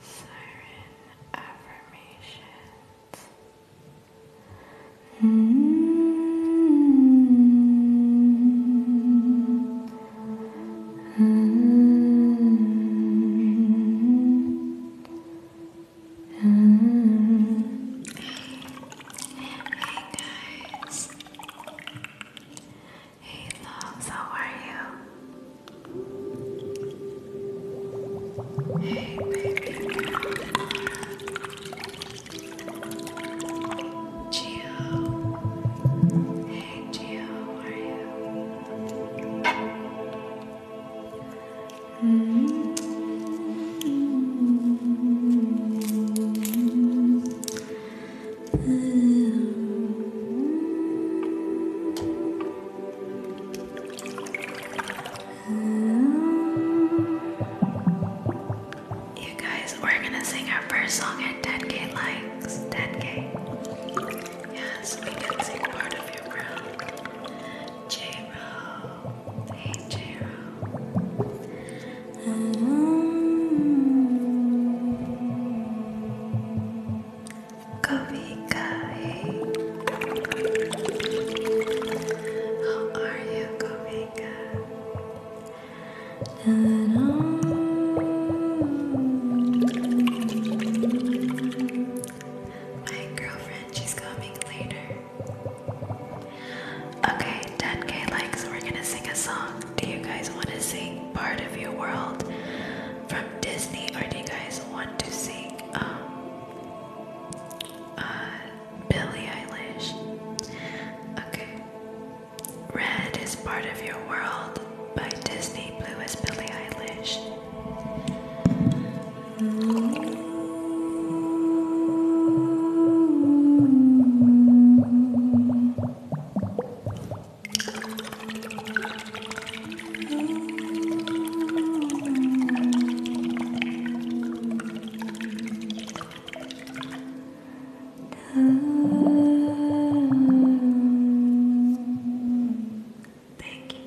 Siren affirmations. -hmm. Hey guys. Hey how are you? Hey, baby girl, Hey, Gio, how are you? -hmm. Hmm. You guys, we're gonna sing our first song at 10k likes. 10k. Yes, we can sing part of your round. J Row. Hey, J Row. Um, Kobe Guy. How are you, Kobe my girlfriend, she's coming later. Okay, 10k likes. We're gonna sing a song. Do you guys want to sing Part of Your World from Disney, or do you guys want to sing um, uh, Billie Eilish? Okay. Red is part of your world by Disney. Blue is Billie Eilish. Thank you,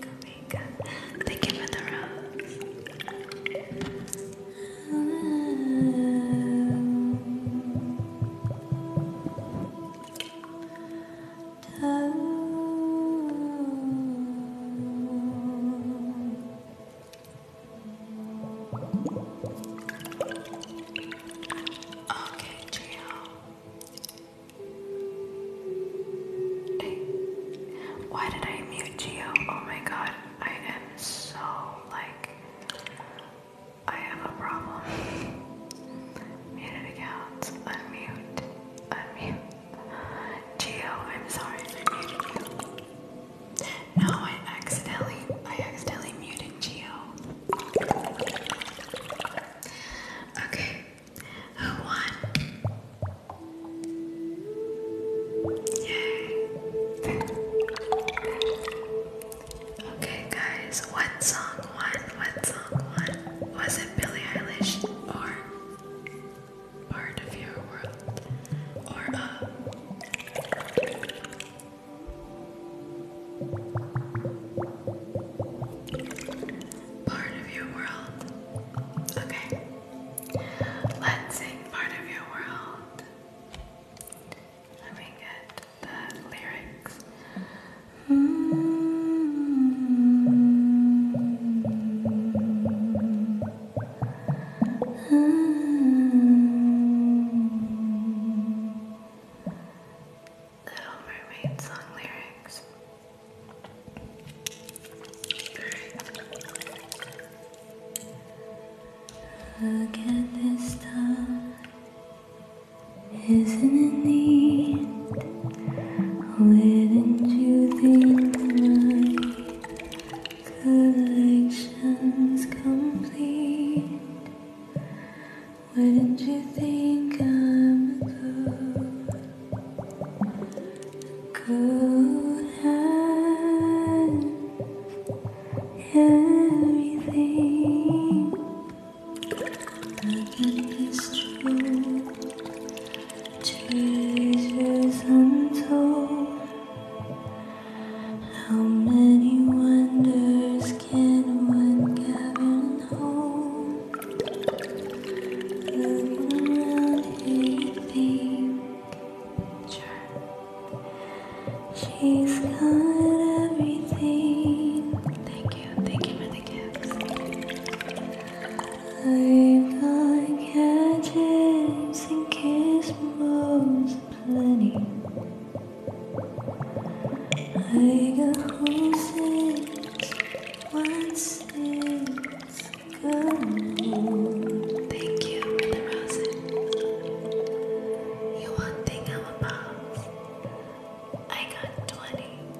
Kamika. Thank you for the rose. Okay, Gio. Hey, why did I mute Geo? Oh my god, I am so like, I have a problem. Muted accounts. Unmute. Unmute. Geo, I'm sorry I muted you. No, I accidentally I accidentally muted Geo. Okay. Who won? Yay. Okay guys, what song one? What song? What was it? Billie Eilish or Part of Your World or uh? Part of Your World. Okay, let's sing Part of Your World. Let me get the lyrics. Little Mermaid song lyrics. Look at this stuff. Isn't it neat? Wouldn't you think my collection's complete? Wouldn't you think I'm a good, good at everything? Nothing is true. Jesus untold, how many wonders can one gather hold? Look around here, think, sure. She's got everything. Thank you, thank you for the gifts. I've got gadgets and gizmos plenty. I got horses, horses, good Thank you for the roses. You want thing I'm above. I got twenty.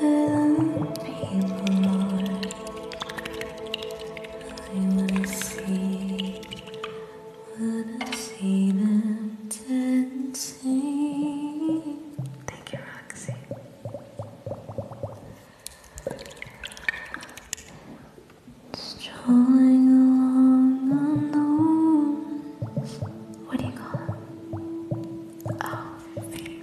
with people, Lord. I want see, wanna see them dancing. Thank you, Roxy. Strolling along the roads what do you call it? Oh, fate.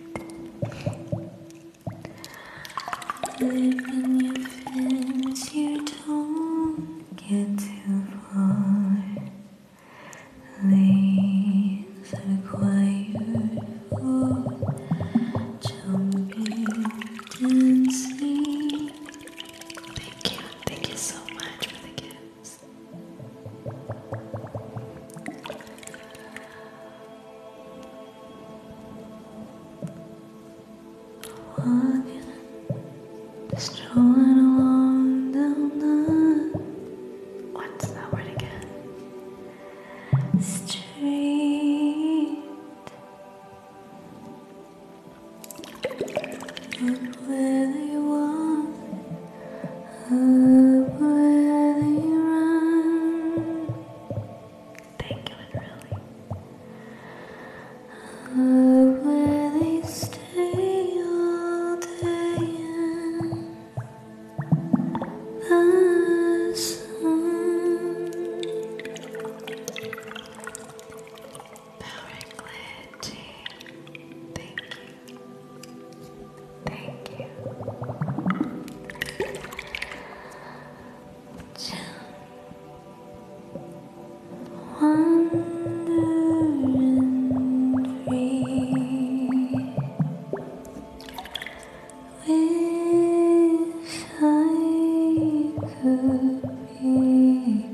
Living your friends, you don't get too far. Lanes are quiet for jumping, dancing. Thank you, thank you so much for the gift eyes. Walking, strolling along down the Street. And where they walk up where they run. Thank you, really. Up where they stay all day and the sun. Power and Thank you. Thank you. Just wander and free. Wish I could be.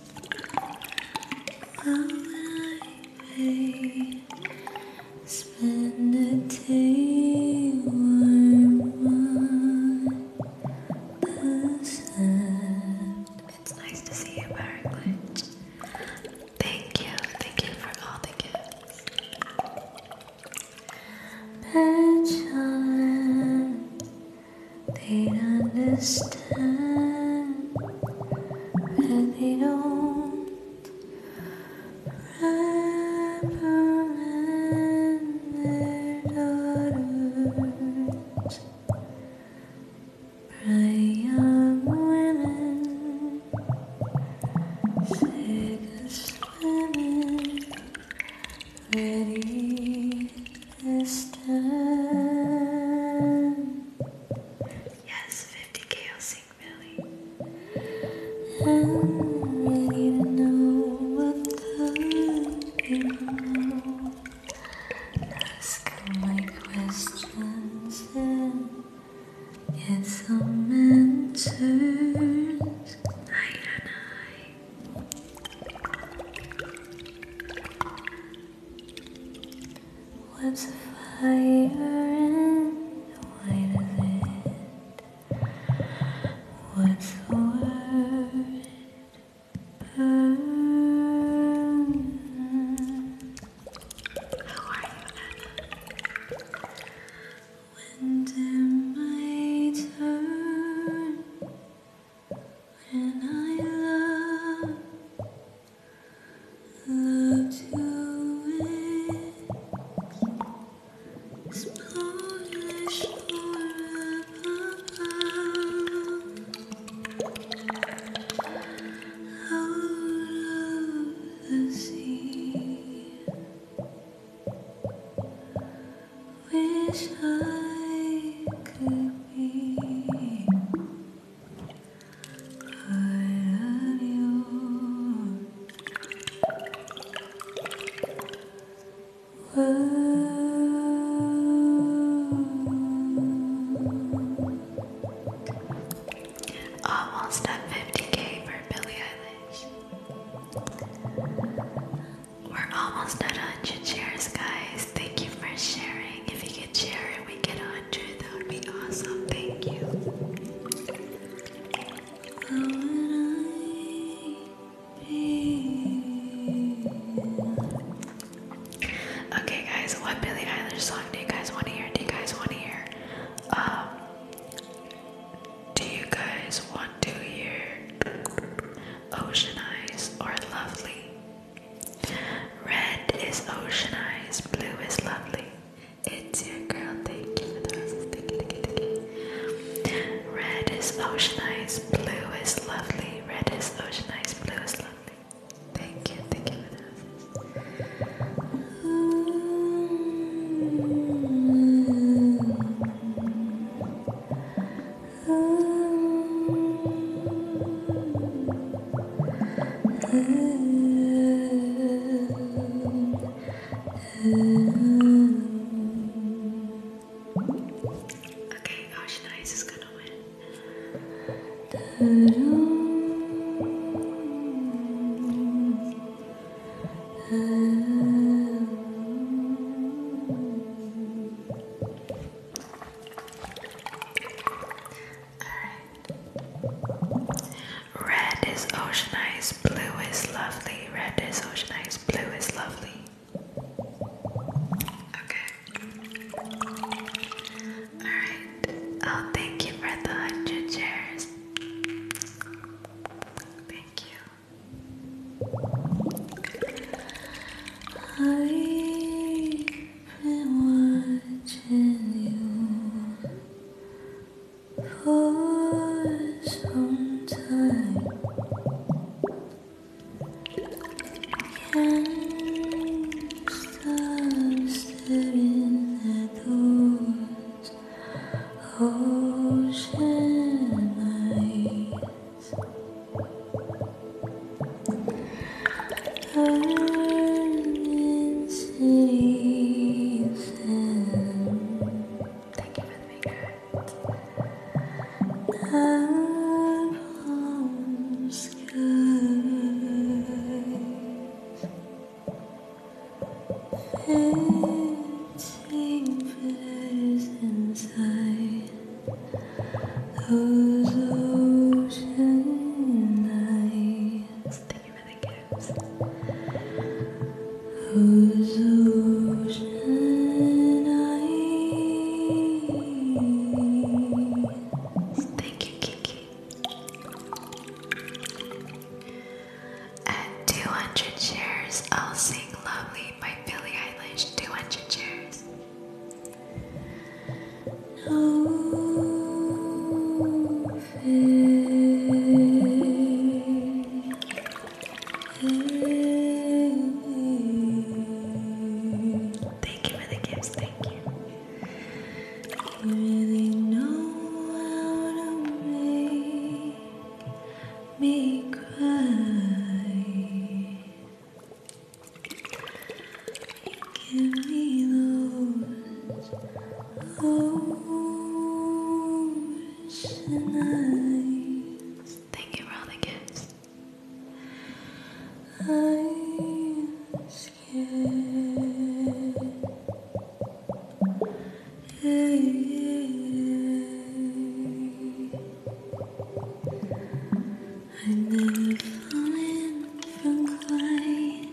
It's nice to see you, Barracklage. Thank you, thank you for all the gifts. Petulant, they understand understand they don't wrap their daughters bright young women sick of swimming ready this time Yes, 50k I'll sing Billy. I'm know what the Ask my questions and it's all answers. I and I. What's the fire in the why of it? What's the word? Burn. are you, When did my turn? When I love Love to wake, small shore above, out of the sea. Wish I could be. I love Almost at 50k for Billie Eilish. We're almost at 100 shares, guys. Thank you for sharing. If you could share it, we get that would be awesome. Thank you. Okay, guys, what Billie Eilish song do you guys want to hear? Do you guys want to hear? Um, do you guys want to hear Ocean Eyes or Lovely? Red is ocean eyes, blue is lovely. It's your girl, thank you for Red is ocean eyes, blue is lovely. Red is ocean eyes, blue is lovely. Thank you, thank you Okay, gosh, is gonna win. Red is ocean eyes, blue is lovely. Red is ocean eyes, blue is lovely. Okay. Alright. Oh, thank you for the hundred shares. Thank you. I been watching you for some time. Can't stop staring at those ocean lights. Thank you for the maker. Our home skies Fitting flitters inside those ocean nights Let's take another kiss. ocean eyes? Thank you, Kiki. At 200 shares, I'll sing Lovely by Billie Eilish. 200 shares no pain Thank you for the gifts, thank you. You really know how to make me cry. Thank you for all the gifts. I'm scared. I've never fallen from quite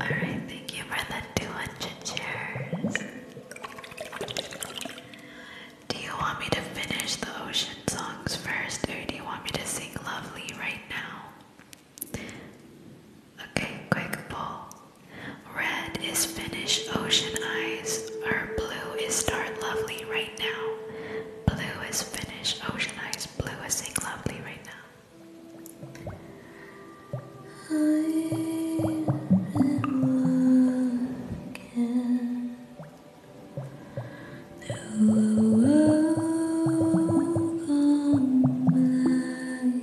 Alright, thank you for the 200 shares. Do you want me to finish the ocean songs first, or do you want me to sing lovely right now? Okay, quick pull. Red is finish ocean eyes, or blue is start lovely right now. Blue is finish ocean eyes, blue is sing lovely right now. I am looking through a world gone blind.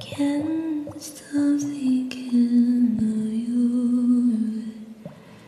Can't stop thinking of you.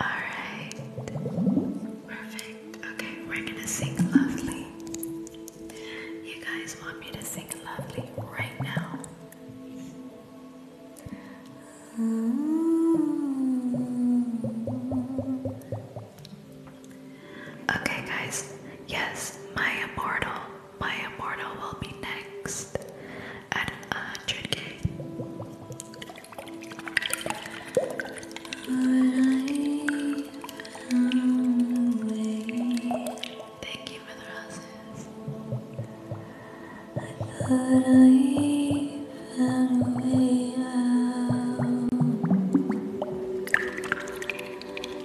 Alright. Perfect. Okay, we're gonna sing lovely. You guys want me to sing lovely right now? Okay, guys. Yes, my immortal. My immortal will be next at 100k. Thank you for the roses. I thought I found a way out,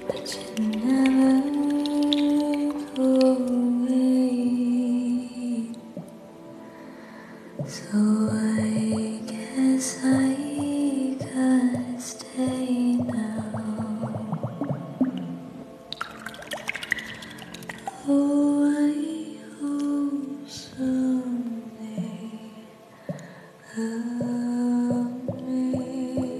but you never go away. So I guess I can't stay now. Oh, I hope someday I'll make it.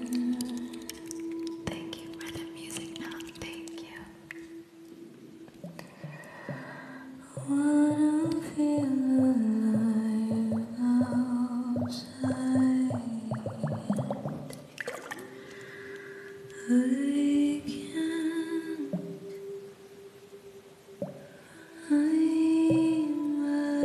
Thank you for the music now. Thank you. Wanna feel alive outside? I can't find my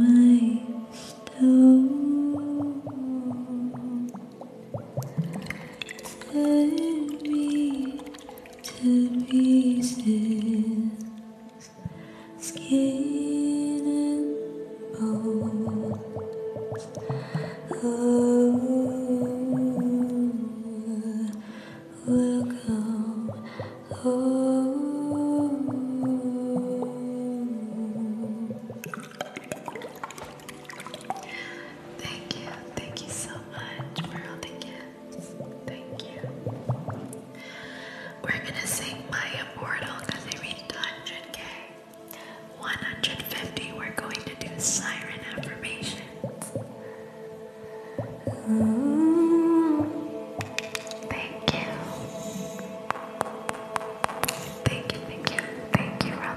my stone Turn me to pieces Skin and bone Oh Thank you, thank you so much for all the Thank you. We're gonna sing my immortal because I reached 100k. 150, we're going to do siren affirmations. Thank you. Thank you, thank you, thank you for all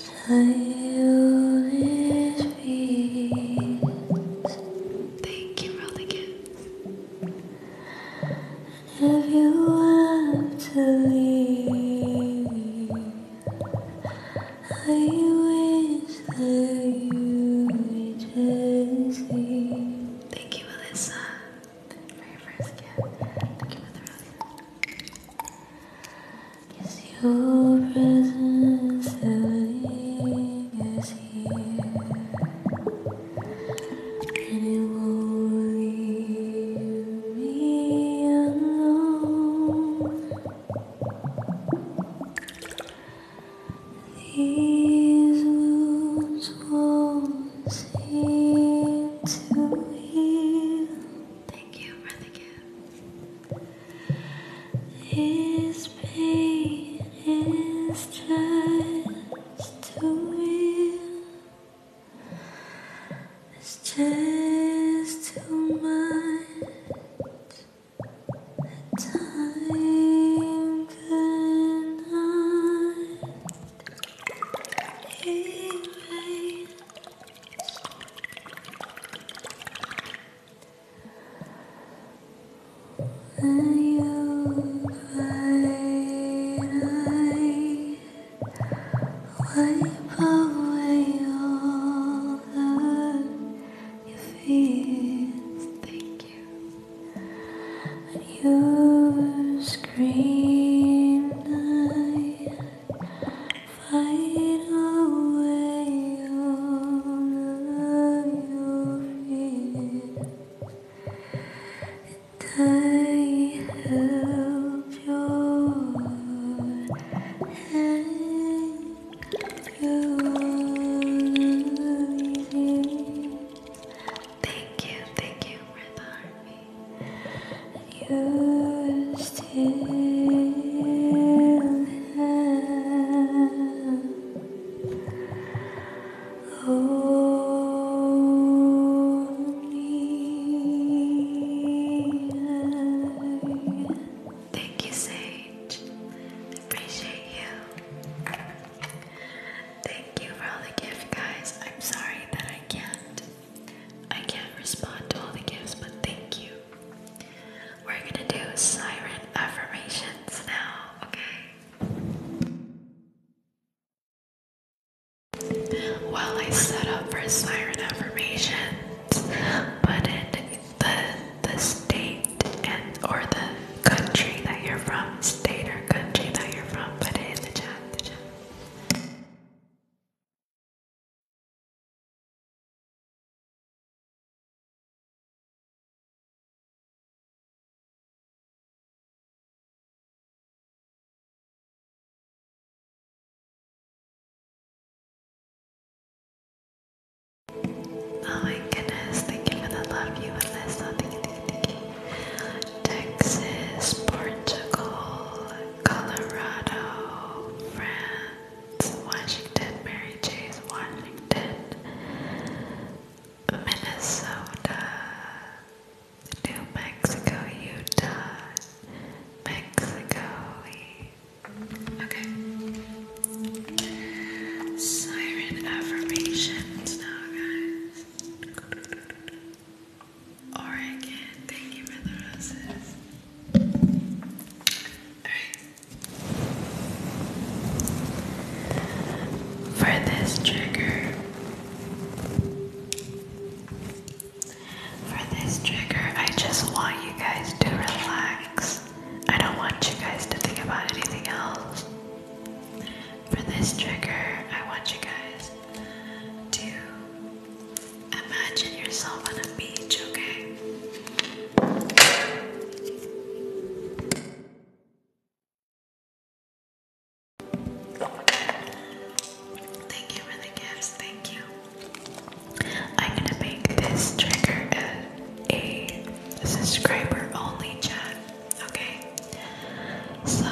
Thank you for the If you want to leave, I wish that you would just Thank you, Melissa, for your first gift. Thank you for the Cause your presence is here And it won't leave me alone These wounds won't seem to heal Thank you for the this pain is just too real. It's just too much. time could not erase. You I wipe away all the your fears. Thank you. You screamed. I Fight away all of your fears. And I held your hand through Thank you, thank you for the army. You still am. Only I. Thank you, Sage. Appreciate you. Thank you for all the gift, guys. I'm sorry that I can't. I can't respond to all the gifts, but thank you. We're gonna do siren affirmations now, okay? While I set up for siren affirmations, put in the the state and or the country that you're from, state or country that you're from, put it in the chat. Oh my goodness, thank you for the love you and this. thank you, thank you, thank you. Texas, Portugal, Colorado, France. Washington, Mary Chase, Washington, Minnesota, New Mexico, Utah, Mexico. Okay. Siren affirmations now, guys. Oregon, thank you for the roses. Alright. For this trigger, for this trigger, I just want you guys to relax. I don't want you guys to think about anything else. For this trigger, I want you guys to imagine yourself on a beach, okay? Thank you for the gifts. Thank you. I'm gonna make this trigger a, a subscriber only chat. Okay. So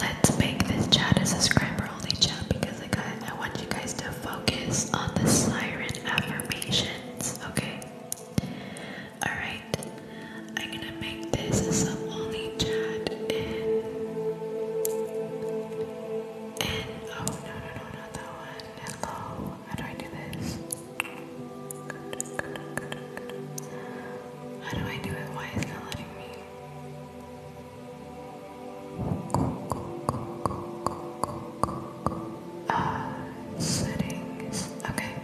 let's make this chat a subscriber only chat because I I want you guys to focus on the siren affirmation minutes. Okay. Alright. I'm gonna make this some only chat and oh no no no not that one. Hello. How do I do this? How do I do it? Why is not letting me? Go, go, go, go, go, go, go. Uh, okay.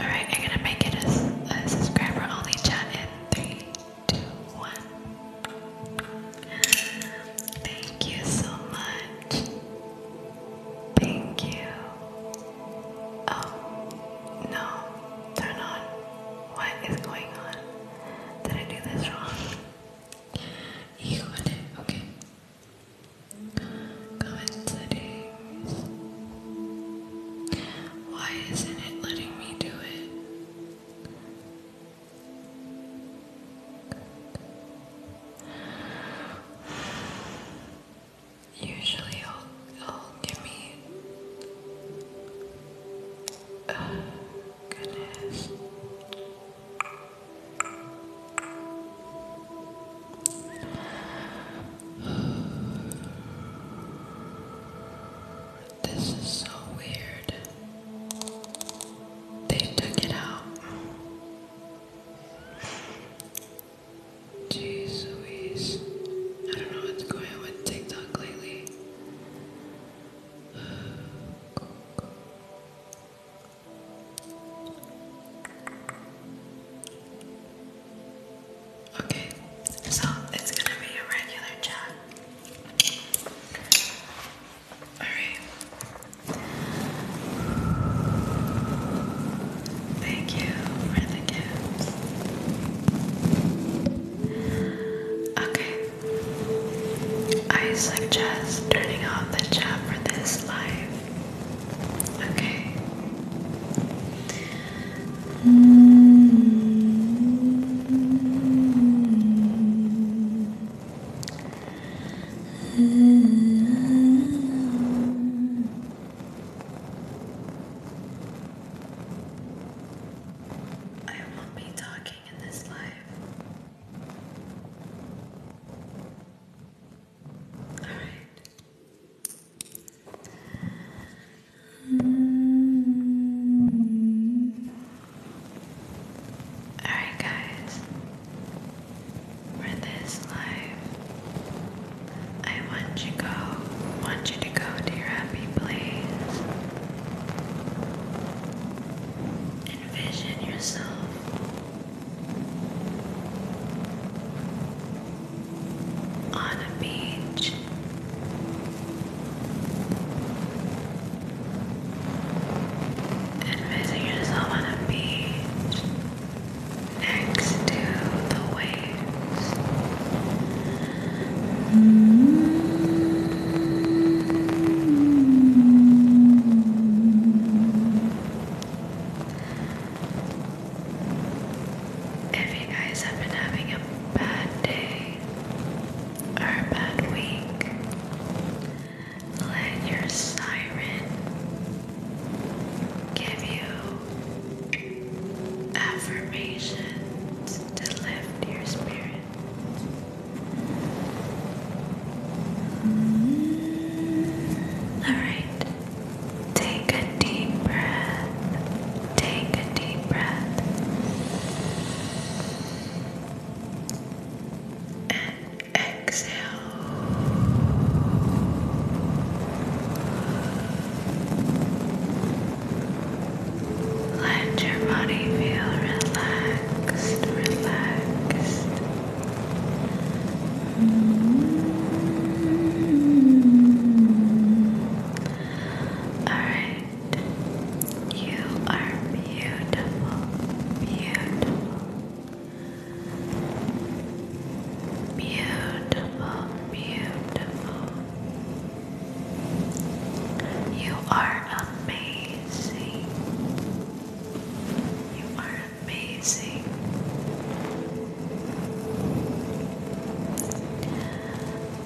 Alright, I'm gonna make it a, subscriber only chat in 3, Thank you so much. Thank you. Oh, no. Turn on. What is going on? Did I do this wrong? You got Okay. Comment settings. Why isn't it letting me do it? Usually, I'll, I'll give me. Uh, goodness. This is so weird. They took it out. Jeez Louise. I don't know what's going on with TikTok lately. Okay, so it's gonna be a regular chat. Alright. Thank you for the gifts. Okay. I suggest turning off the chat for this live Okay. -hmm. I won't be talking in this live. All right. all right, guys. For this life, I want you go. Want you to go to your happy place. Envision yourself on a beach. Envision yourself on a beach next to the waves. If you guys have been having a bad day or a bad week, let your siren give you affirmations to lift your spirit. All right. Take a deep breath. Take a deep breath. And exhale. Let your body feel relaxed, relaxed, all right. You are beautiful, beautiful, beautiful, beautiful. You are amazing. You are amazing.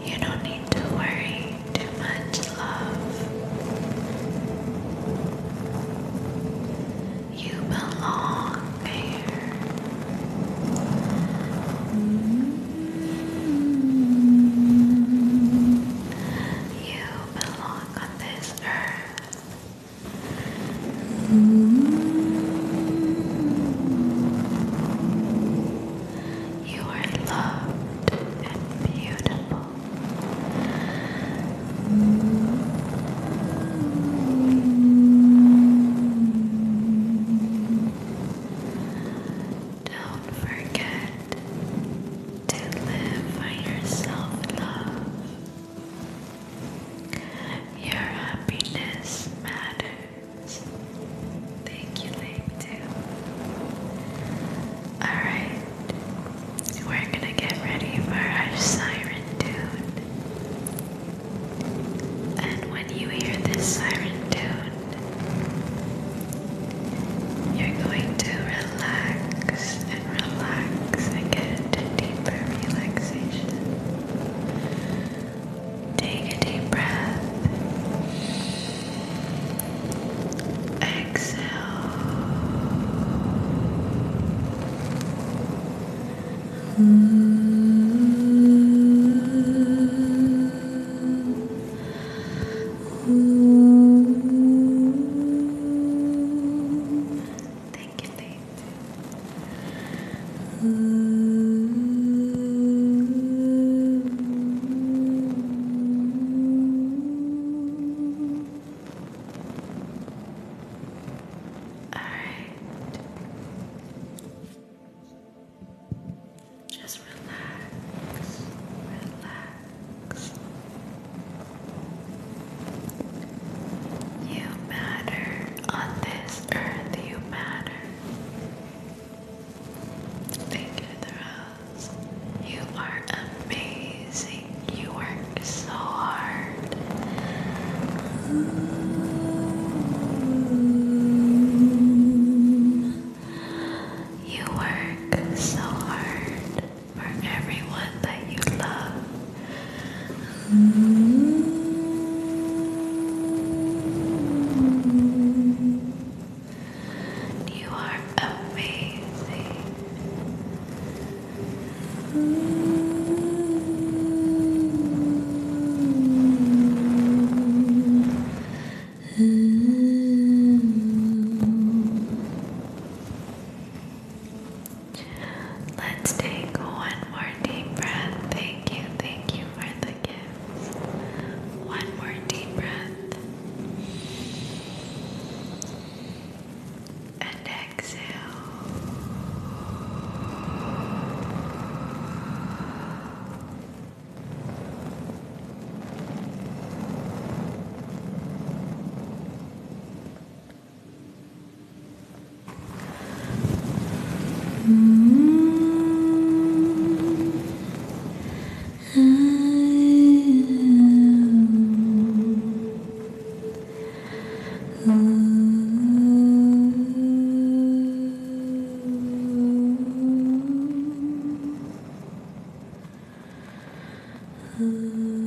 You don't need to worry too much, love. You belong here. You belong on this earth. You are loved and beautiful. Don't forget to live by yourself, love. Your happiness matters. Thank you, Lake Alright, we're gonna get ready for our siren tune. And when you hear this siren tune, you're going to relax and relax and get into deeper relaxation. Take a deep breath. Exhale. Alright. Just relax, relax, you matter on this earth, you matter. Thank you, the You are amazing. You work so hard. You work so hard for everyone that you love. You are amazing. Let's take one more deep breath. Thank you, thank you for the gifts. One more deep breath. And exhale. Ooh. Mm-hmm.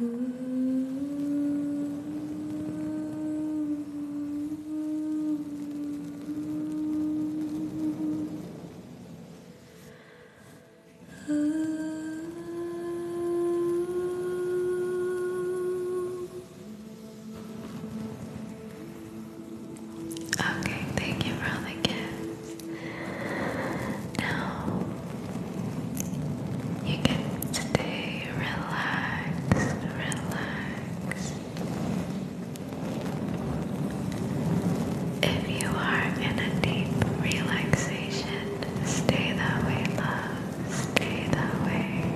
Okay, thank you for all the gifts. Now you can stay relaxed, relaxed. If you are in a deep relaxation, stay that way, love. Stay that way.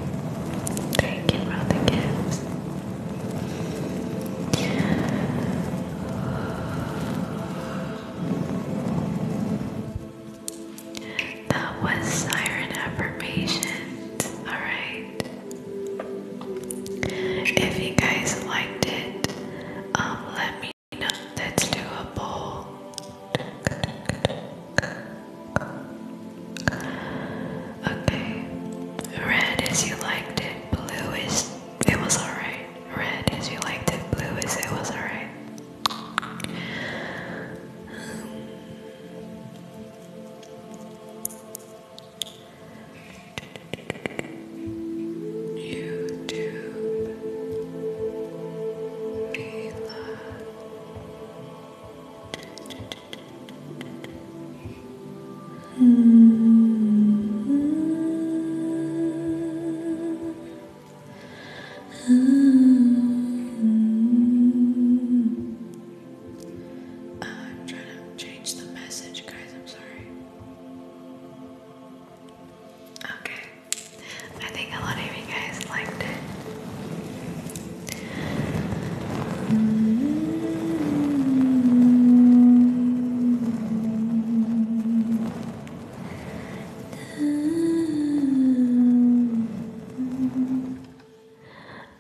Thank you for the gifts. That was siren affirmations. Alright. If you guys liked it, um let me know. Let's do a poll. Okay. Red is you liked it, blue is it was alright. Red is you liked it, blue is it was alright. YouTube, Mila. Mm -hmm. Uh, I'm trying to change the message, guys. I'm sorry. Okay, I think a lot of you guys liked it.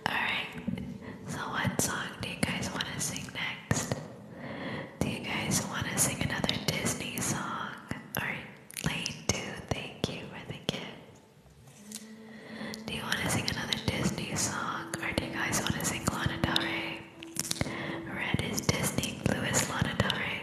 Alright, so what song do you guys want to sing next? Do you guys want to sing another Disney song? Alright, Lane 2, thank you for the gift. Do you want to sing another Disney song? Or do you guys want to sing Lana Del Rey? Red is Disney, blue is Lana Del Rey.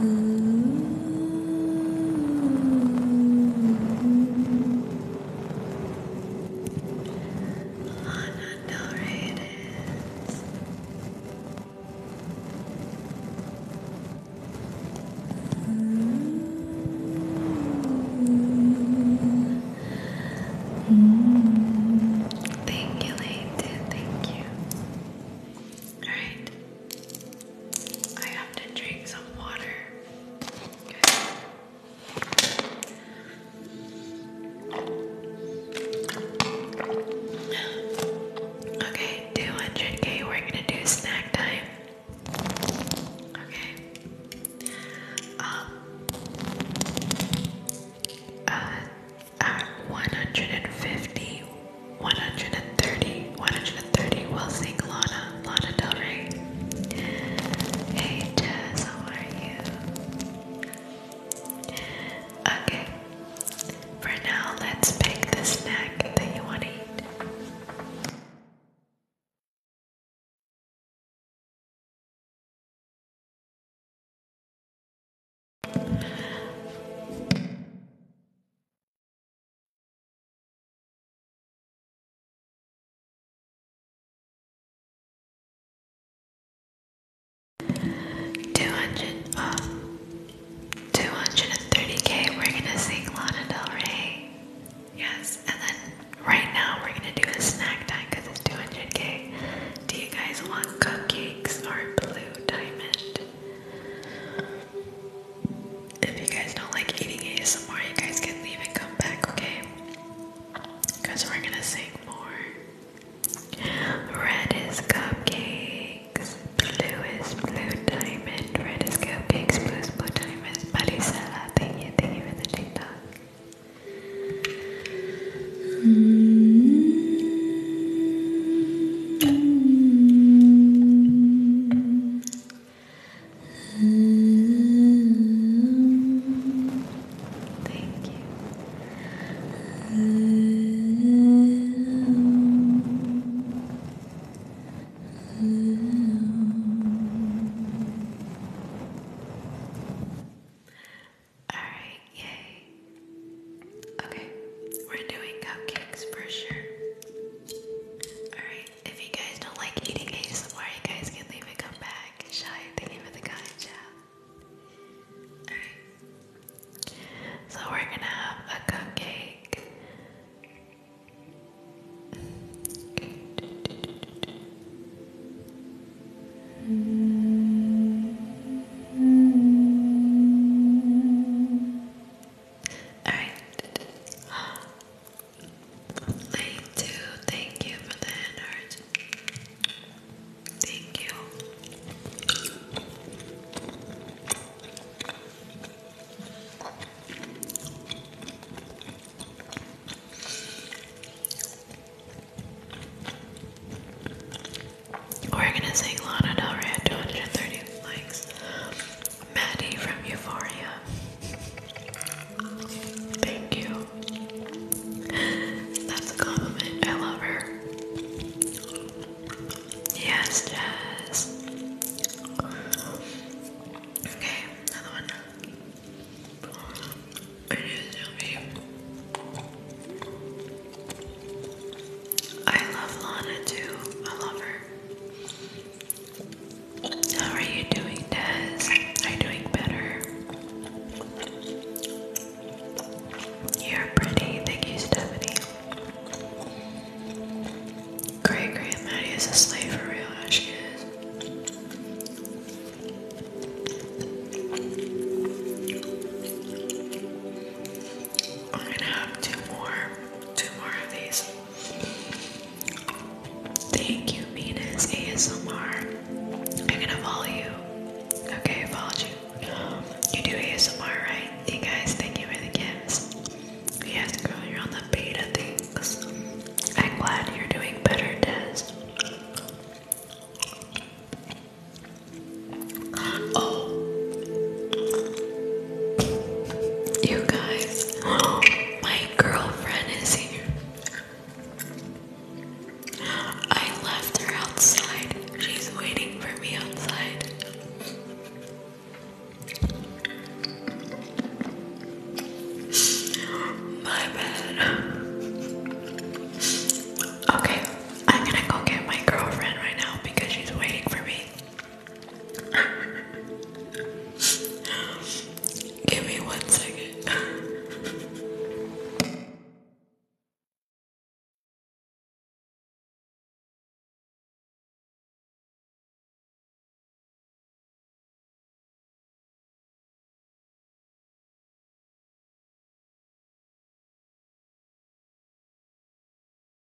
Lana Del Rey Thank you, Leighton. Thank you. All right. I have to drink some water. Okay, 200k, we're gonna do snack time. Okay. Um, uh, at 150 130, 130 will sing Lana, Lana Del Rey. Hey Jess, how are you? Okay, for now let's pick the snack that you want to eat. Two hundred, uh, two hundred and thirty k. We're gonna sing Lana Del Rey. Yes, and then right now we're gonna do a snack time it's two hundred k. Do you guys want cupcakes or blue diamond? if you guys don't like eating ASMR, you guys can leave and come back, okay? Because we're gonna sing more. Red is cupcakes, blue is blue diamond, red is cupcakes, blue is blue diamond. Marisela, thank you, thank you for the TikTok thank you. All right, yay. Okay, we're doing cupcakes for sure. All right, if you guys don't like eating ASMR, you guys can leave and come back. Shy, thank you for the kind chat. Alright. So we're gonna have a cupcake. Alright. Lane 2, thank you for the energy. Thank you. We're gonna sing Lana Del Rey at 230 likes. Maddie from Euphoria. Thank you. That's a compliment. I love her. Yes, Jazz. Okay, another one. I love Lana too. I love her. How are you doing, Des? Are you doing better? You're pretty. Thank you, Stephanie. Great, great. Maddie is a slave for real. She is. I'm gonna have two more, two more of these. Thank you, Venus ASMR. I'm gonna follow you. Okay, I you. You do ASMR, right? Hey guys, thank you for the gifts. Yes, girl, you're on the beta things. I'm glad you're doing better, Des. Oh, you guys, my girlfriend is here. I left her outside. She's waiting for me outside. My bad. Okay, I'm gonna go get my girlfriend right now because she's waiting for me. Give me one second.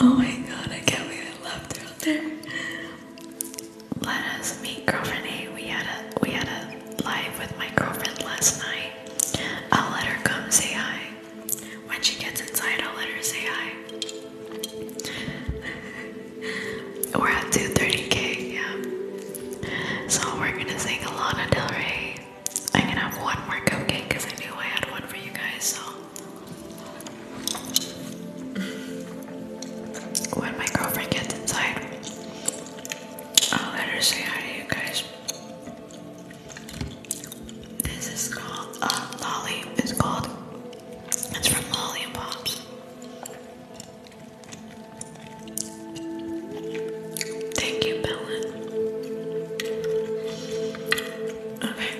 Oh my god, I can't believe I left her out there. Let us meet girlfriend A. We had a we had a live with my girlfriend last night. I'll let her come say hi. When she gets inside, I'll let her say hi. we're at 230k, yeah. So we're gonna sing a lot of Rey. I'm gonna have one more cupcake because I knew I had one for you guys, so when my girlfriend gets inside, I'll let her say you guys. This is called uh, Lolly. It's called. It's from Lolly Pops. Thank you, Bella. Okay.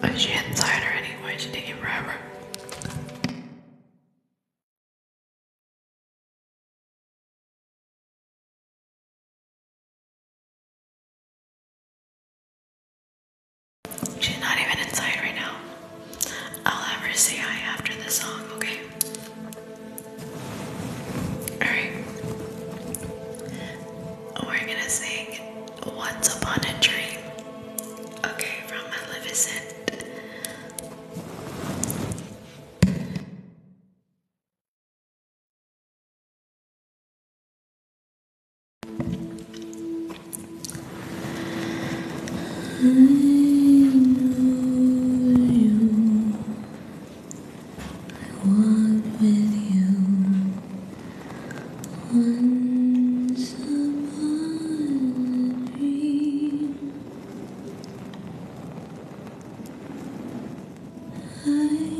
But she had her anyway, didn't even She's not even inside right now. I'll ever say hi after the song, okay? Alright. We're gonna sing Once Upon a Dream. Okay, from Maleficent. I know you. I walk with you. Once a dream, I know you.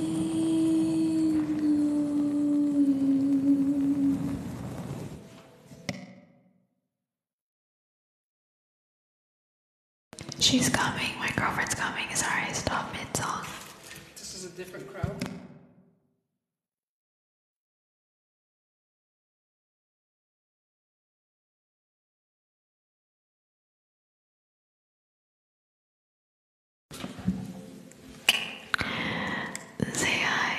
She's coming. My girlfriend's coming. Sorry, stop mid song. This is a different crowd. Say hi.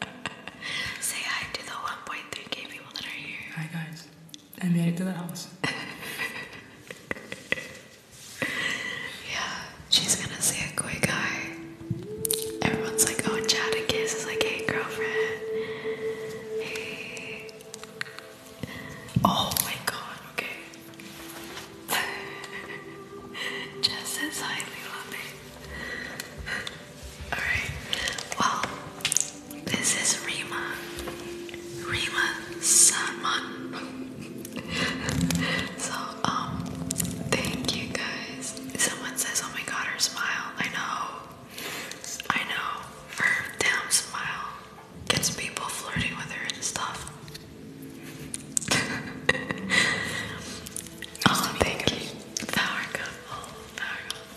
Say hi to the 1.3k people that are here. Hi guys. I made it to the house. yeah, she's gonna say a quick hi. Everyone's like, oh, chat and kiss is like, hey, girlfriend. Oh my god, okay. Just says hi, Lila, Alright, well, this is Rima. Rima Salman. so, um, thank you guys. Someone says, oh my god, her smile. I know. I know. Her damn smile gets people flirting with her and stuff. oh, thank you. Power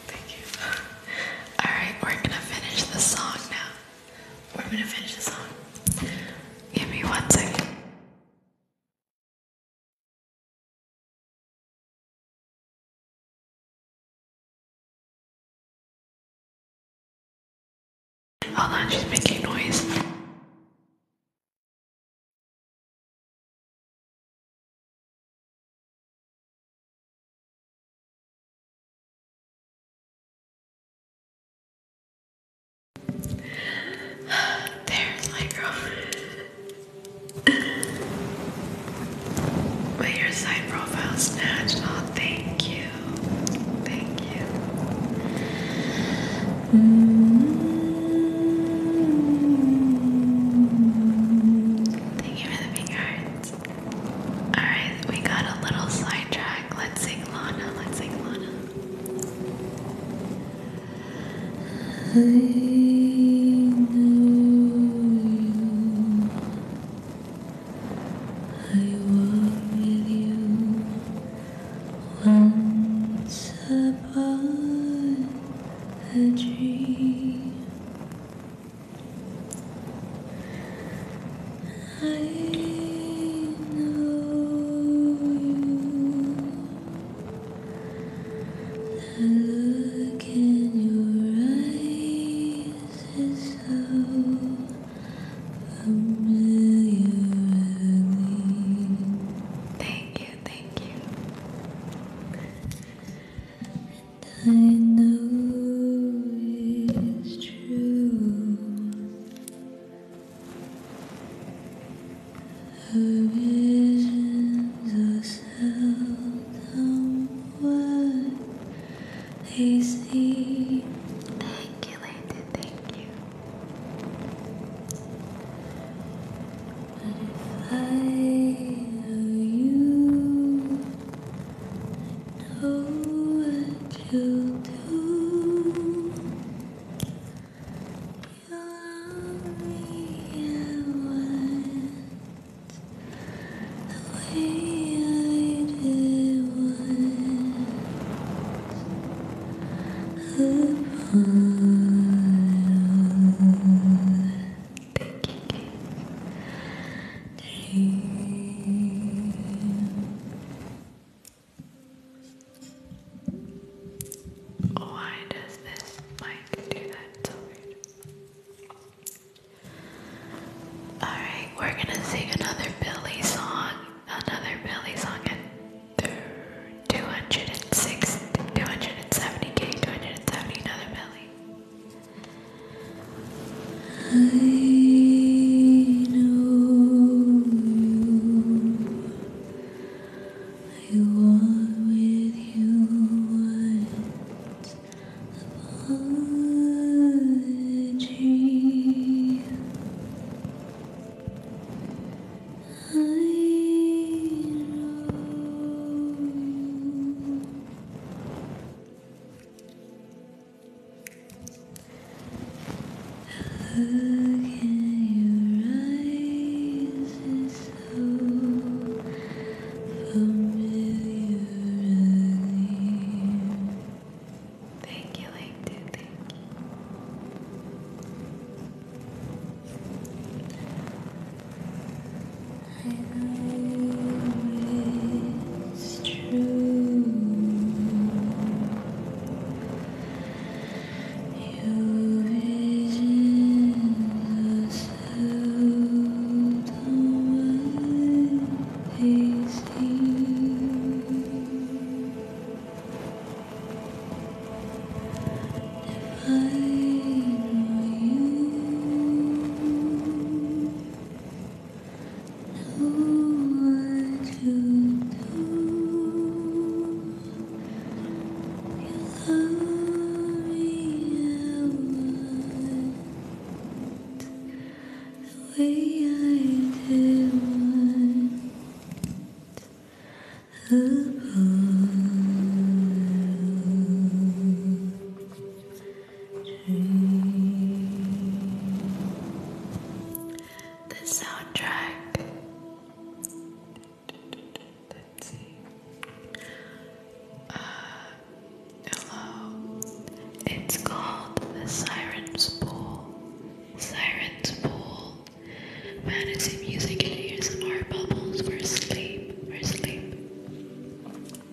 Thank you. Alright, we're gonna finish the song now. We're gonna finish the song. Give me one second. Hold on, she's making noise. There's my girl. But your side profile snatched. Oh, thank you. Thank you. Mm-hmm you for the big Alright, we got a little sidetrack. Let's sing Lana. Let's sing Lana. I know you. I walk with you once upon a dream. I know you. The look in your eyes is so familiar. Thank you, thank you. I know it's true. Her visions are seldom what they see. Thank you, Lady. Thank you. But if I know you, I know what you do. You love me and the way I did once upon. Why does this mic do that so weird? Alright, we're gonna sing another Billy song. Another Billy song at 206, 270k, 270, another Billy. I know you. I walk with you once upon a dream. I know you. Again, your eyes is so familiar. Thank you, LinkedIn. Thank you. I know it's true. Your vision was out of my tasting. If I know you what to do. Your the way I did want. Above. The soundtrack. Uh, hello. It's called The Siren's Pool. Siren's Pool. Fantasy music and ASMR bubbles for sleep. For sleep.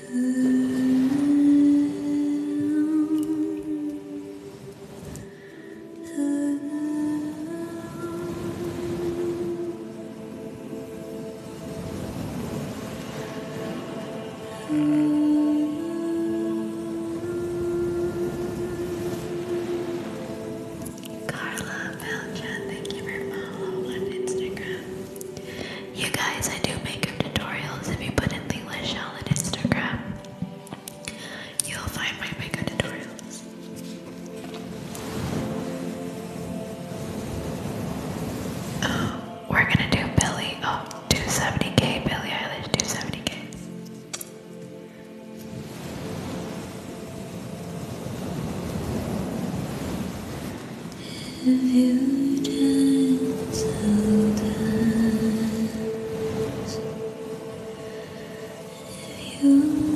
Carla Belgian, thank you for following on Instagram. You guys, I do makeup tutorials. If you put in You'll find my makeup tutorials. Oh, we're gonna do Billy. Oh, 270k, Billy Eilish, 270k. You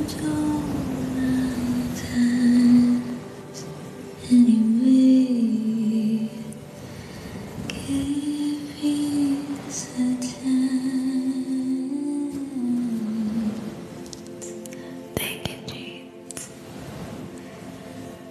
don't know anyway. Give it a chance. Take it, James.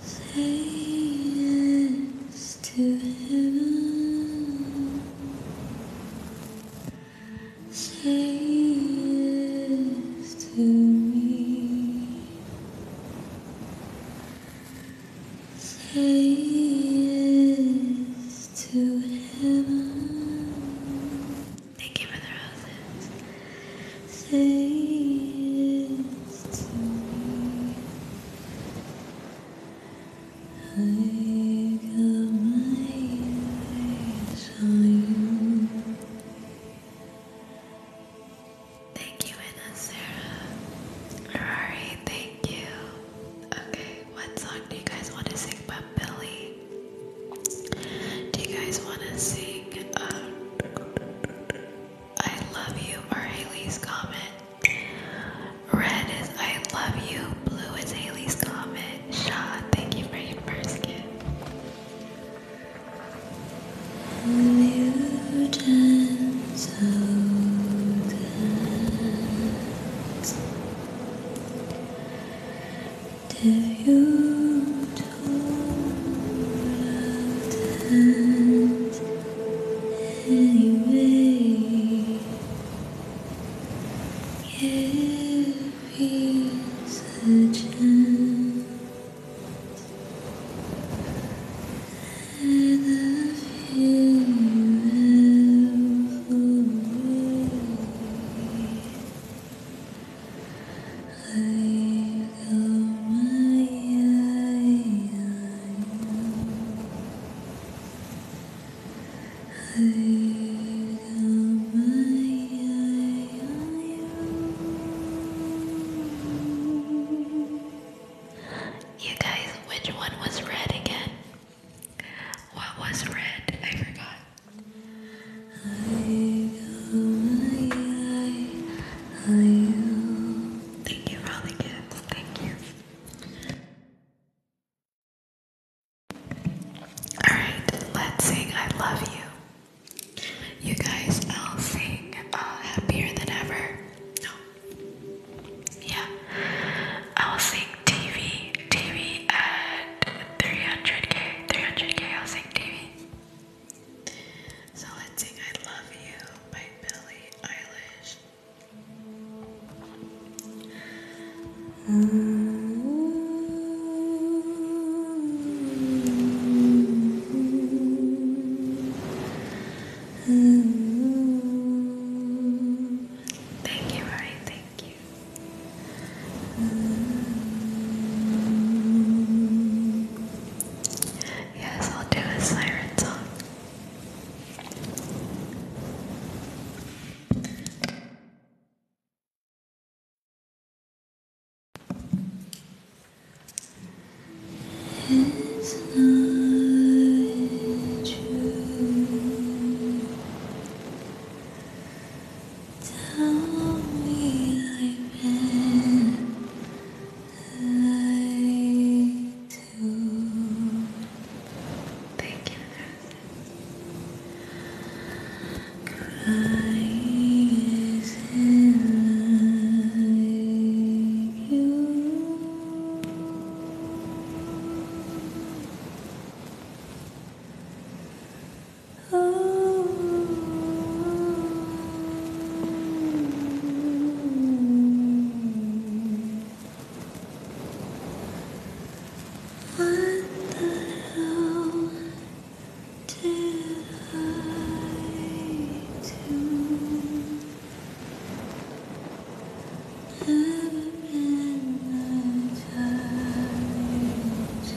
Say yes to heaven. Say yes to me. Say yes to heaven. Thank you for the roses. Say yes to me. I got my eyes on you. Thank you, Anna Sarah. Rory, thank you. Okay, what song do you guys want to sing by Billy? Do you guys want to sing? Um, I love you for Haley's comment. Red is I love you. Blue is Haley's comment. Shaw, thank you for your first gift anyway. Give peace a chance. And I feel I got my eye. You guys, which one was red again? What was red? I forgot. Thank you for Thank you. Alright, let's sing I Love You. You guys, I'll sing uh, Happier Than Ever. No. Yeah. I'll sing TV. TV at 300k. 300k, I'll sing TV. So let's sing I Love You by Billie Eilish. Thank you, Ryan. Thank you. Yes, I'll do a siren song. It's not true. Tell me I Thank you, Crying isn't like you. Oh, what the hell did I do? Never been the time to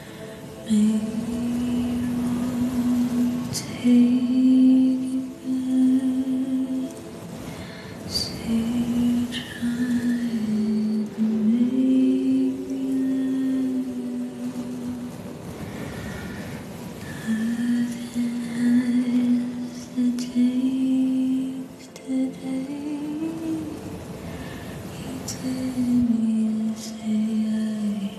Maybe i take it back. Say try and make me has the taste today. You didn't say I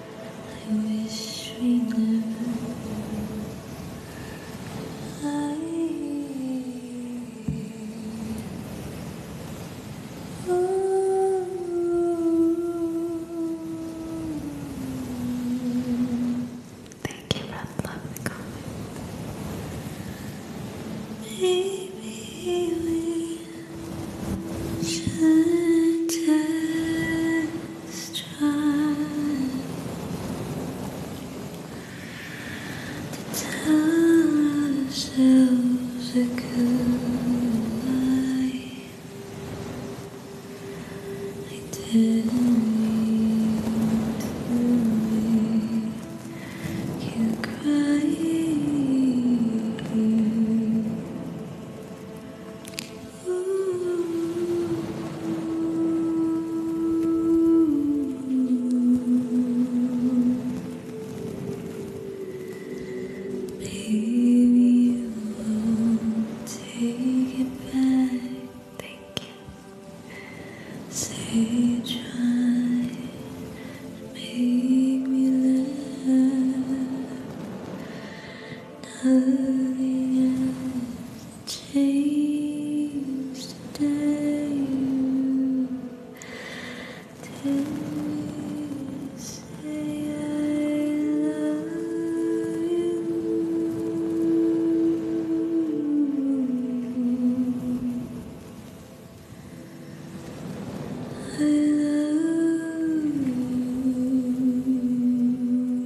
I wish we never I Thank you for the lovely Maybe we should try to tell ourselves a good lie. I didn't mean to make you cry. Maybe you won't take it back. Thank you. Say try make me laugh. Nothing has changed today. Till say I love you. I love you.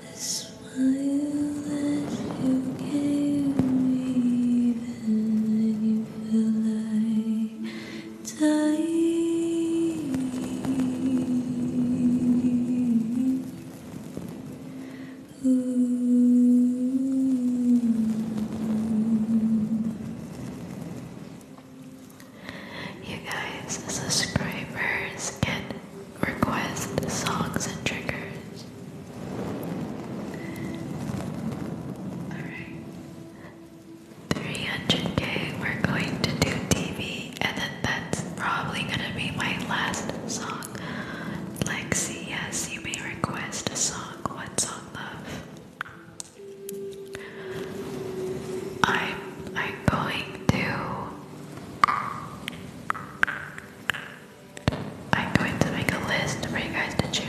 The smile that you gave me when you felt like dying. You guys, subscribers get request songs and triggers. Alright. 300k, we're going to do TV, and then that's probably gonna be my last song. Lexi, yes, you may request a song. What song, love? I'm I'm going to I'm going to make a list for you guys to choose.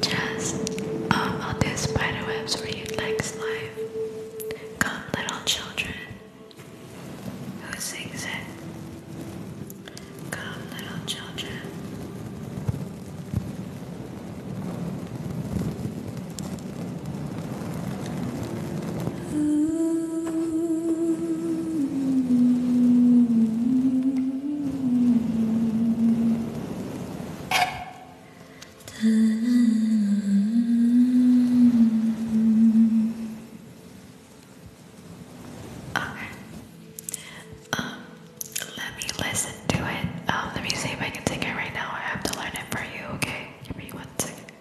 Just, um, I'll do spider webs life. Come, little children. Who sings it? Come, little children. Okay. Um, let me listen to it. Um, let me see if I can sing it right now. I have to learn it for you, okay? Give me one second.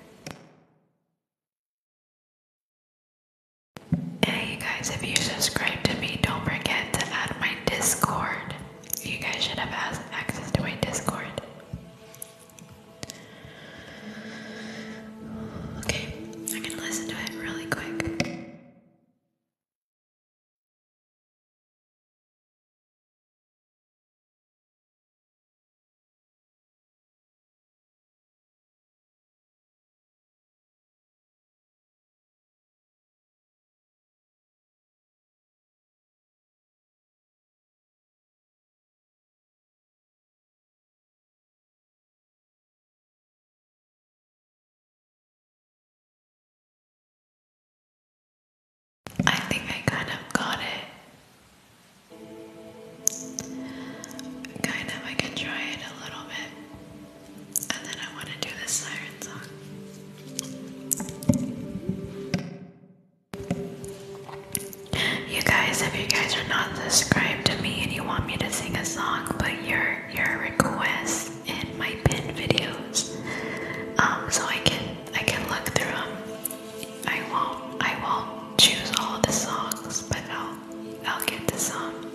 Hey you guys, if you subscribe to me, don't forget to add my Discord. You guys should have access to my Discord. Okay, I'm gonna listen to it really quick. I think I kind of got it. Kind of, I can try it a little bit. I want to do the song. You guys, if you guys are not subscribed to me and you want me to sing a song, but your your requests in my pin videos, um, so I can I can look through them. I won't I will choose all the songs, but I'll I'll get to some.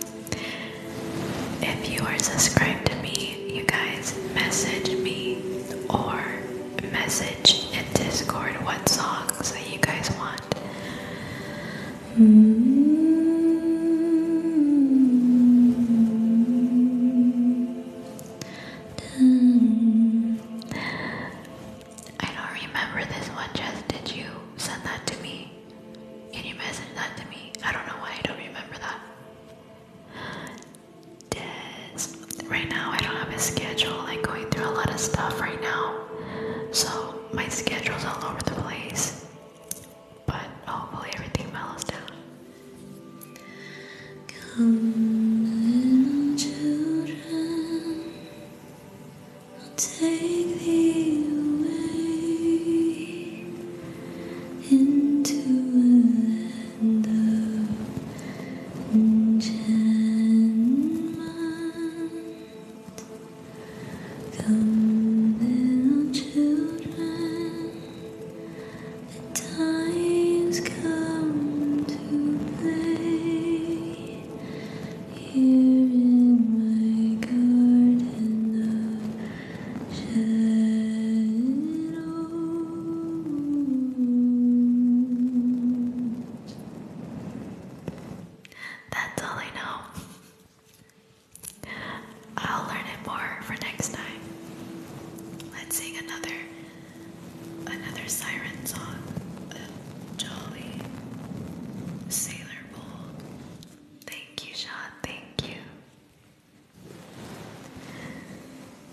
If you are subscribed to me, you guys message me or message in Discord what songs that you guys want. I don't remember this one, Jess. Did you send that to me? Can you message that to me? I don't know why I don't remember that right now I don't have a schedule. Like going through a lot of stuff right now, so my schedule's all over the place. But hopefully everything mellows down into a land of enchantment. Come, little children, the time's come to play here in my garden of shadow. That's all I know. I'll learn it more for next time. Let's sing another another siren song. jolly sailor bold. Thank you, Sean. Thank you.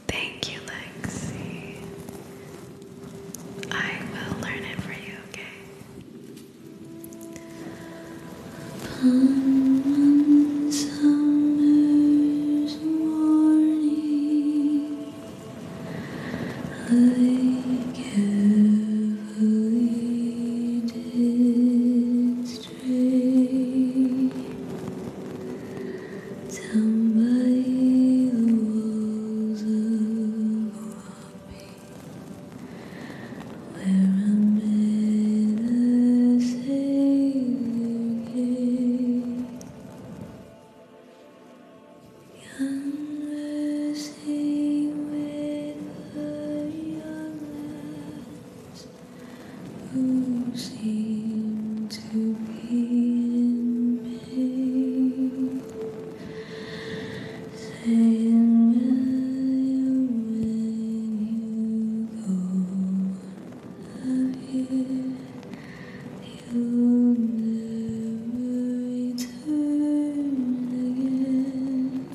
Thank you, Lexi. I will learn it for you, okay? Upon summer's morning, I carefully astray down by the walls of Mojave, where I met a Savior King. Conversing with the young lads who seem to be in pain, saying when you go out here, you'll never return again.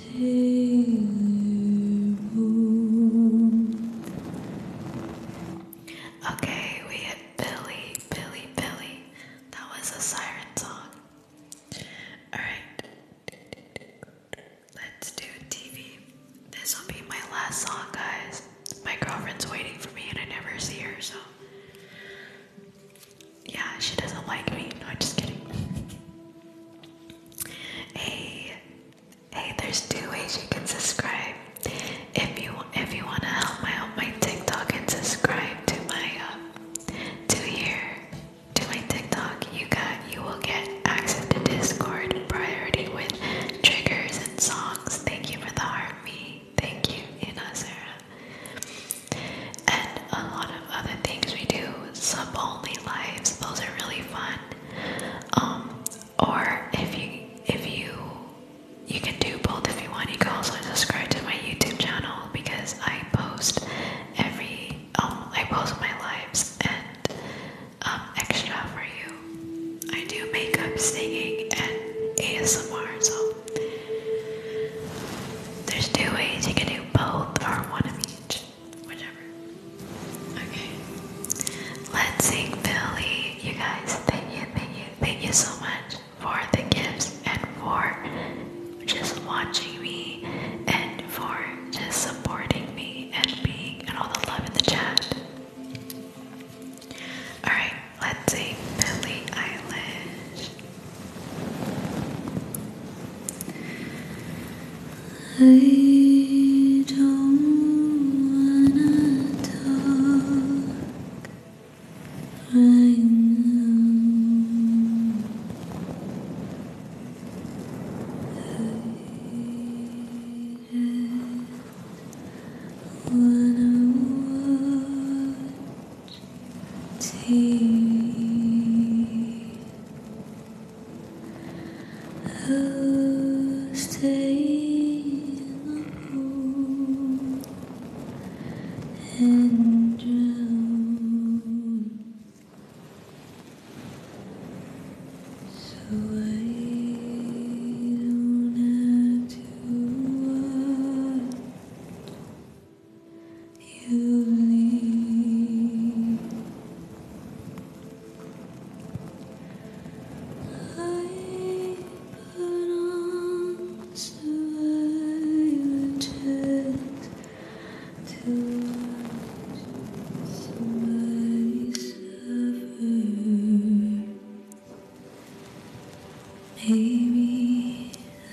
Okay, we had Billy, Billy, Billy. That was a siren song. Alright. Let's do TV. This will be my last song, guys. My girlfriend's waiting for me and I never see her, so yeah, she doesn't like me. No, I'm just kidding. Hey, hey, there's two ways you can subscribe. If you if you wanna help my help my TikTok and subscribe to my uh, to here to my TikTok, you got you will get access to Discord priority with triggers and songs. Thank you for the heart, me. Thank you, Ina Sarah and a lot of other things we do, sub-only lives, those are really fun. Um, or if you if you you can do both if you want, you can also subscribe to my YouTube channel because I post every um I post my lives and um extra for you. I do makeup, singing, and ASMR, so there's two ways you can do both or one of each. Let's sing Billy. You guys, thank you, thank you, thank you so much for the gifts and for just watching me and for just supporting me and being and all the love in the chat. Alright, let's sing Billie Eilish. I don't wanna talk right now. I wanna watch TV. I'll stay in the room and drown. So I don't have to watch you leave. I put on sweaters to watch somebody suffer. Maybe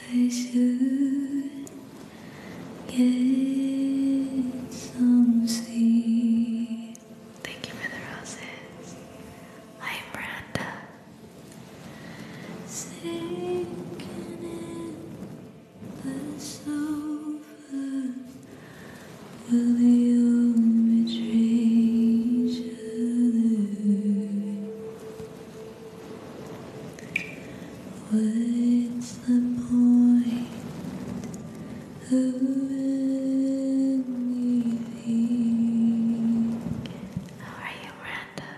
I should Get some sleep. Thank you for the roses. I'm Brenda. Sinking in the sofa. Will the old each other? What's the point of anything? How are you, Miranda?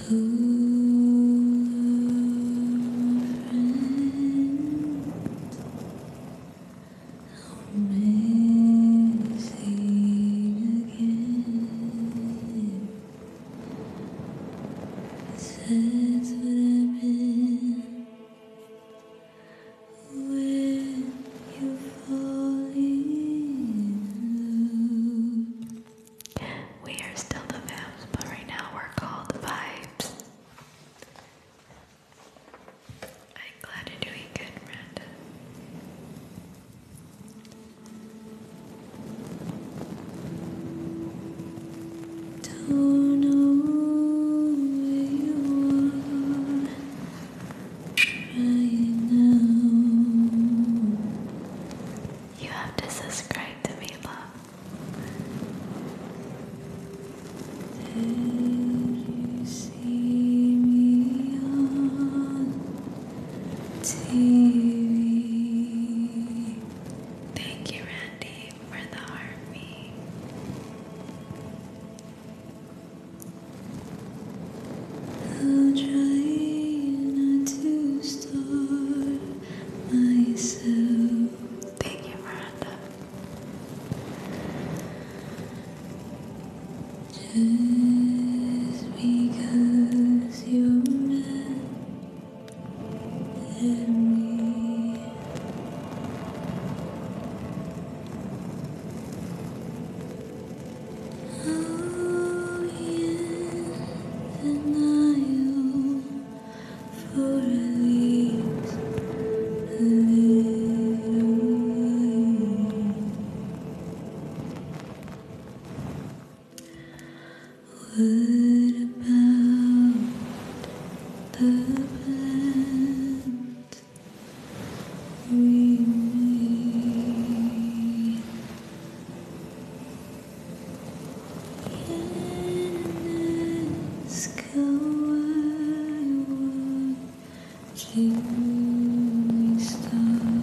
Amazing again. That's what I've We are still the Vamps, but right now we're called Vibes. I'm glad you're doing good, Brandon. Don't know where you are right now. You have to subscribe to me, love. Did you see me on Thank you, Randy, for the army. I'll try not to starve myself. Thank you, Miranda. Just because as you met me. Oh, yes, denial for at least a little while. What about the plant we made? Can this go on? Keep stars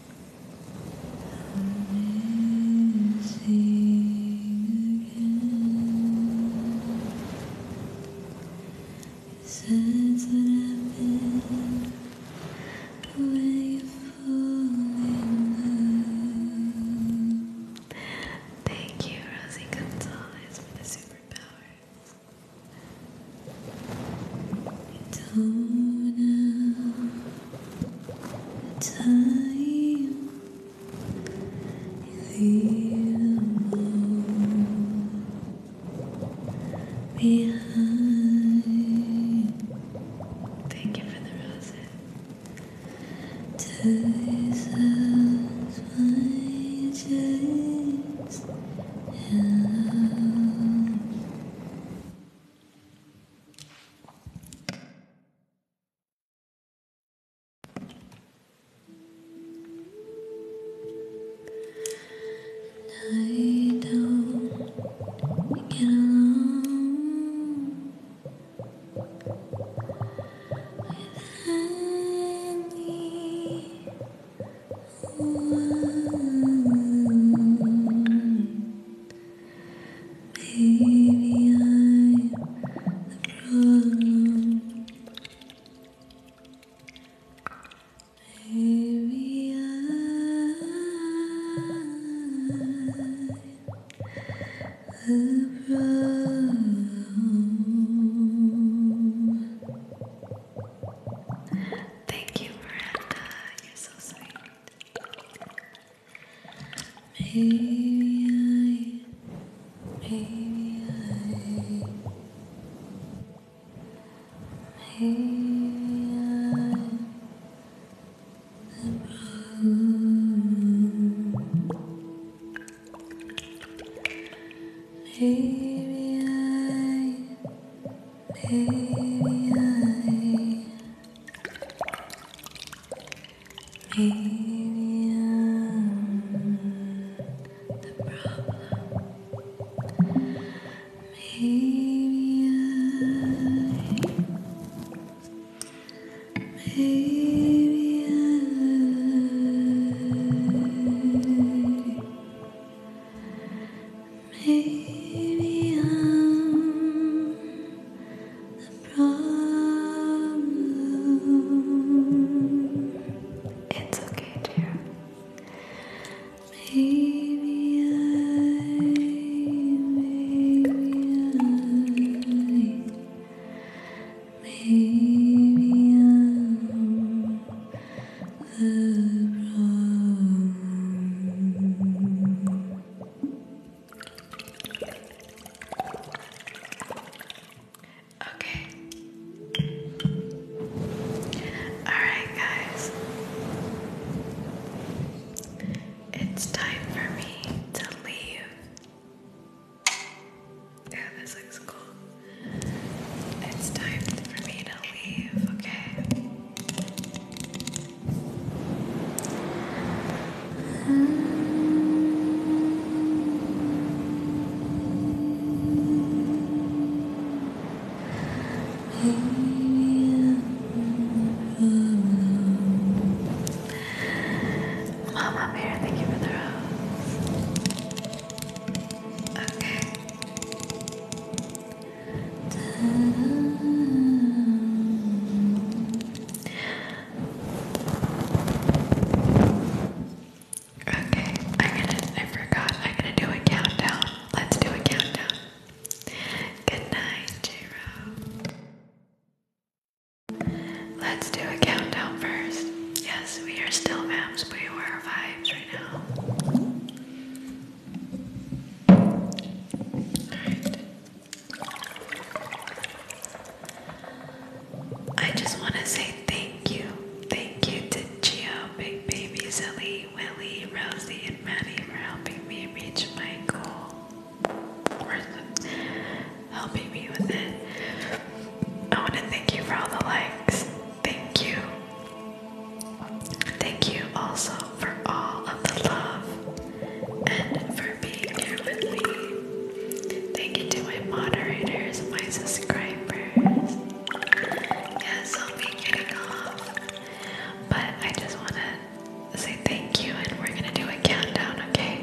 I'm missing again. Since what happened when you fall in love. Thank you, Rosie Gonzalez, for the superpower. don't know time the behind thank you for the roses Ties up my chest I don't get along with anyone. Maybe I'm the problem. Maybe I'm the problem. Thank you, Miranda. You're so sweet. Maybe I, maybe I, maybe I'm the Maybe I, maybe I. Maybe I'm the problem. Maybe I, maybe I, maybe I'm it's okay, dear. Maybe I, maybe I, maybe I'm the problem. Okay. Alright, guys. It's time for me to leave. Yeah, this looks cool. It's time for me to leave, okay? Mom, I'm here. Thank you for the rose. Okay. Okay, I'm gonna, I forgot, I'm gonna do a countdown. Let's do a countdown. Good night, j Let's do a countdown first. Yes, we are still maps, but we are vibes right now. Alright. I just want to say thank you. Thank you to Gio, Big Baby, Zilly, Willie, Rosie, and Maddie for helping me reach my goal. Or helping me with it. I want to thank you for all the likes. Thank you. Thank you also for all of the love and for being here with me. Thank you to my moderators, my subscribers. Yes, I'll be getting off. But I just want to say thank you, and we're going to do a countdown, okay?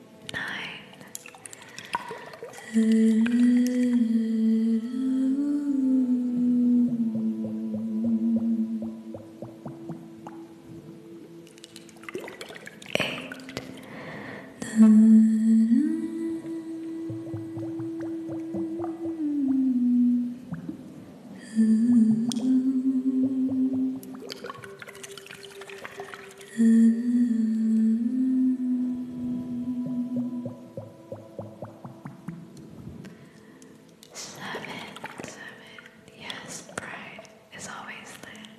nine, eight, nine, Seven, seven. Yes, pride is always there.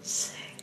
Six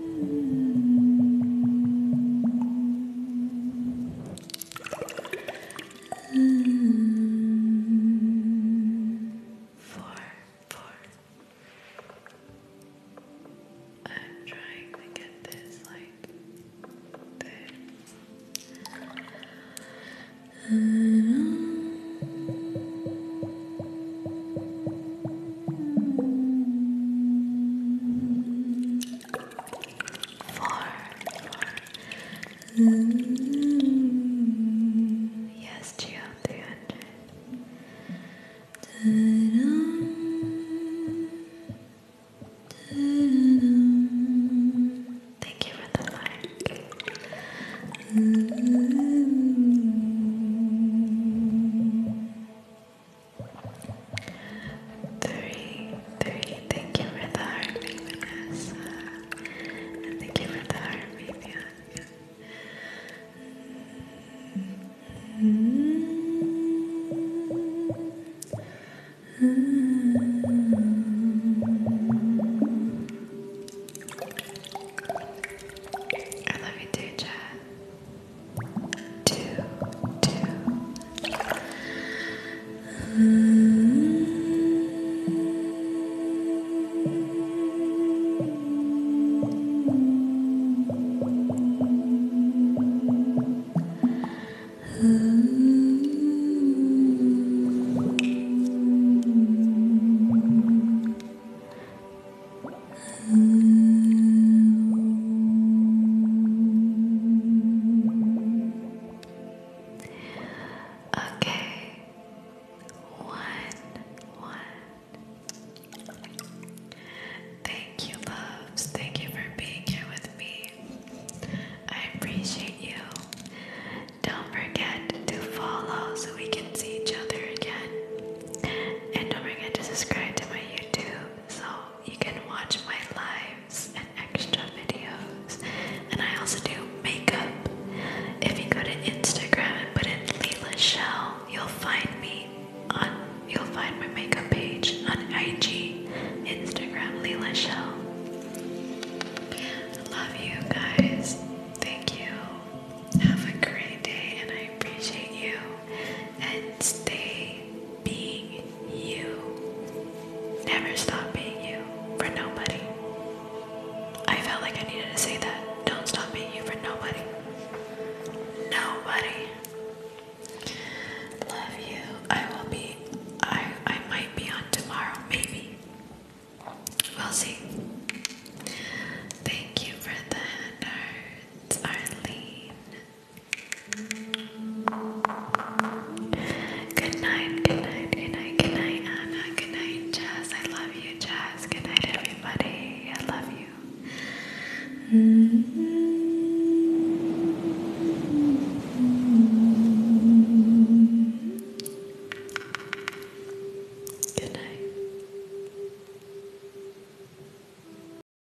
Four, four. I'm trying to get this like there four. Yes, Geo, 300. Thank you for the like. Three, three. Thank you for the heart, Vanessa. And thank you for the heart, Vivian. I love you too, Chad two, two. Okay, one, one. Thank you, loves. Thank you for being here with me. I appreciate you. Don't forget to follow so we can see each other again. And don't forget to subscribe to my YouTube so you can watch my lives and extra videos. And I also do makeup. If you go to Instagram and put in Leila Shell, you'll find me on you'll find my makeup page on IG, Instagram, Leila Shell. Love you guys. Thank you. Have a great day and I appreciate you and stay being you. Never stop being you for nobody. I felt like I needed to say that. Don't stop being you for nobody. Nobody. Love you. I will be I I might be on tomorrow, maybe. We'll see. Thank you for the hand arts, Arlene. Good night, good night, good night, good night, Anna. Good night, Jazz. I love you, Jazz. Good night, everybody. I love you. Good night.